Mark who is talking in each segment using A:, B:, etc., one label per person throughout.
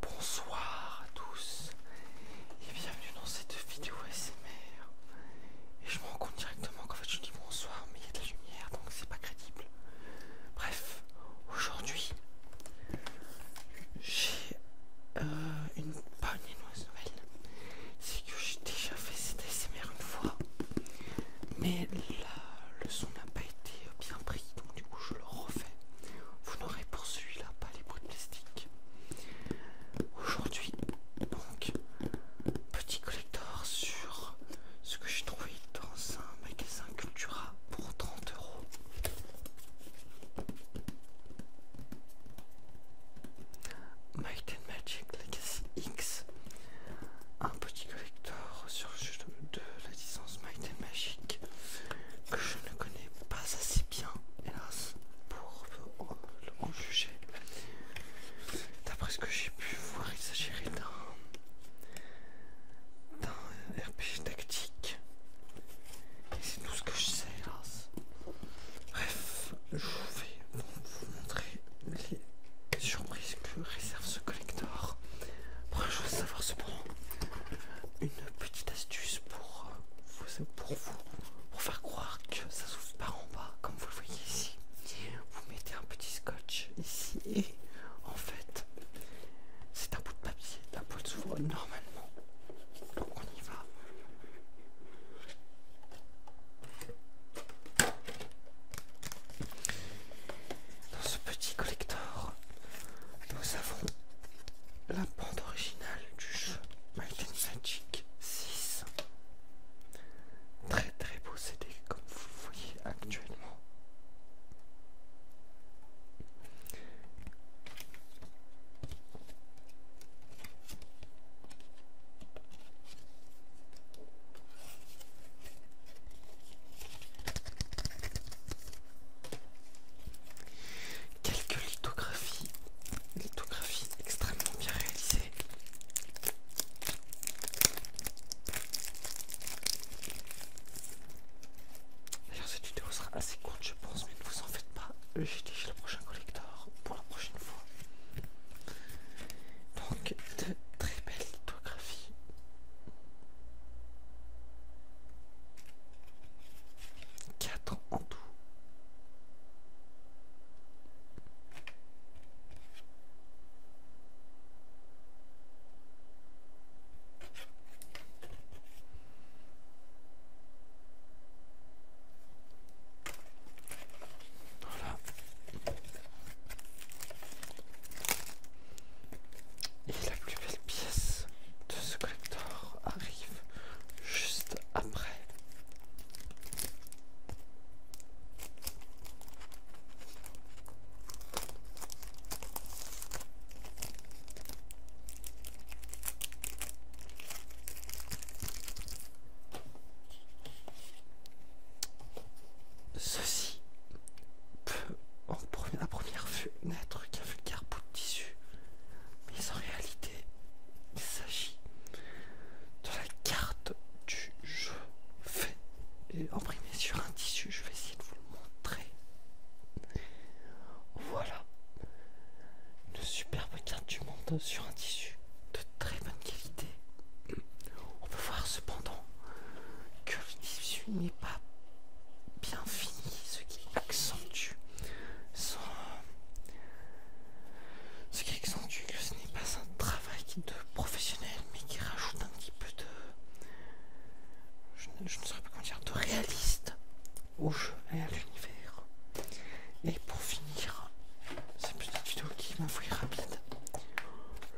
A: Bonsoir à tous et bienvenue dans cette vidéo SMR. Et je me rends compte directement qu'en fait je dis bonsoir mais il y a de la lumière donc c'est pas crédible. Bref, aujourd'hui j'ai euh, une pas une nouvelle, c'est que j'ai déjà fait cette SMR une fois, mais le son n'a pas été bien pris, donc du coup je le refais. Vous n'aurez pour celui-là pas les bruits de plastique. Aujourd'hui, donc, petit collector sur ce que j'ai trouvé dans un magasin Cultura pour 30 euros. Might and Magic Legacy X, un petit collector sur le de, la licence Might and Magic que je ne connais pas assez bien, hélas, pour euh, le juger. D'après ce que j'ai pu voir, il s'agirait d'un RPG tactique. Et c'est tout ce que je sais, hélas. Bref, je vais vous montrer les surprises que réserve ce pour Première chose à savoir cependant, une petite astuce pour euh, vous, pour vous, pour faire croire que ça s'ouvre par en bas, comme vous le voyez ici. Vous mettez un petit scotch ici et en fait, c'est un bout de papier. La de s'ouvre normalement. Donc on y va. Dans ce petit collector, nous avons la bande originale du jeu Mighty Magic 6. Très très beau CD comme vous le voyez actuellement. Quelques lithographies, lithographies extrêmement bien réalisées. D'ailleurs cette vidéo sera assez courte je pense, mais ne vous en faites pas, j'ai déjà le prochain collector pour la prochaine fois. Donc de très belles graphie Quatre en tout. Voilà. Et la plus belle pièce de ce collector arrive juste après. Ceci en la première fenêtre qui a vu le de tissu, mais en réalité, il s'agit de la carte du jeu fait et imprimée sur un tissu. Je vais essayer de vous le montrer. Voilà, une superbe carte du monde sur un tissu de très bonne qualité. On peut voir cependant que l'issue n'est pas bien finie, ce qui accentue ce que ce n'est pas un travail de professionnel, mais qui rajoute un petit peu de... Je ne, pas comment dire, de réaliste au jeu et à l'univers. Et pour finir, une petite vidéo qui m'a rapide,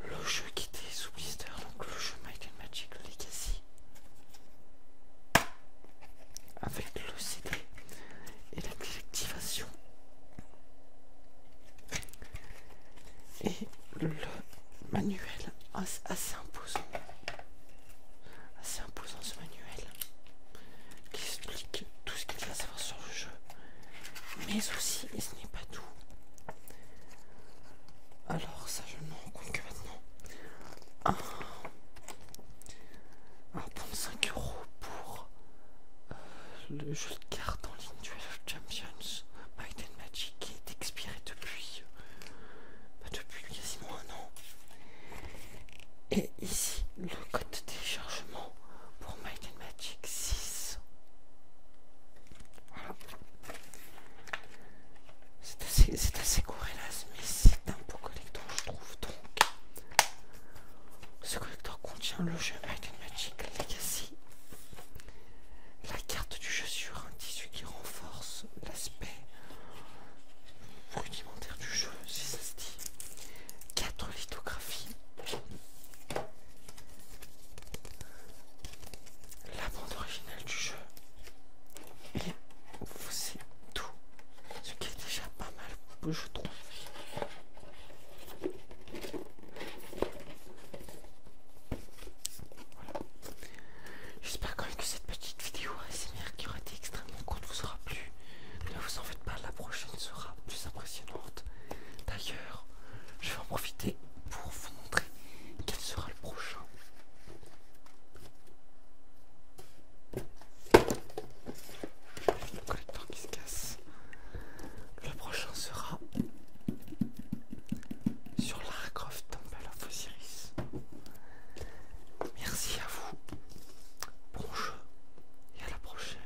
A: le jeu qui était sous blister, donc le jeu Magic Legacy avec CD et la déactivation et le manuel assez imposant assez imposant ce manuel qui explique tout ce qu'il faut savoir sur le jeu mais aussi et ce n'est pas tout alors ça je ne me rends compte que maintenant. Un, pour euh, le jeu de cartes en ligne du of Champions Might Magic qui est expiré depuis, euh, bah, depuis quasiment un an. Et ici le code de téléchargement pour Might Magic 6. C'est C'est assez, assez hélas, mais c'est un beau collector, je trouve. Donc, ce collector contient le jeu Might Magic Legacy, la carte du jeu sur un tissu qui renforce l'aspect rudimentaire du jeu, si ça se dit, 4 lithographies la bande originale du jeu et vous c'est tout ce qui est déjà pas mal je trouve J'espère quand même que cette petite vidéo qui aura été extrêmement courte vous aura plu. Ne vous en faites pas, la prochaine sera plus impressionnante. D'ailleurs, je vais en profiter pour vous montrer quel sera le prochain. Le collecteur qui se casse. Le prochain sera sur l'Arcroft Temple of Osiris. Merci à vous. Bon jeu et à la prochaine.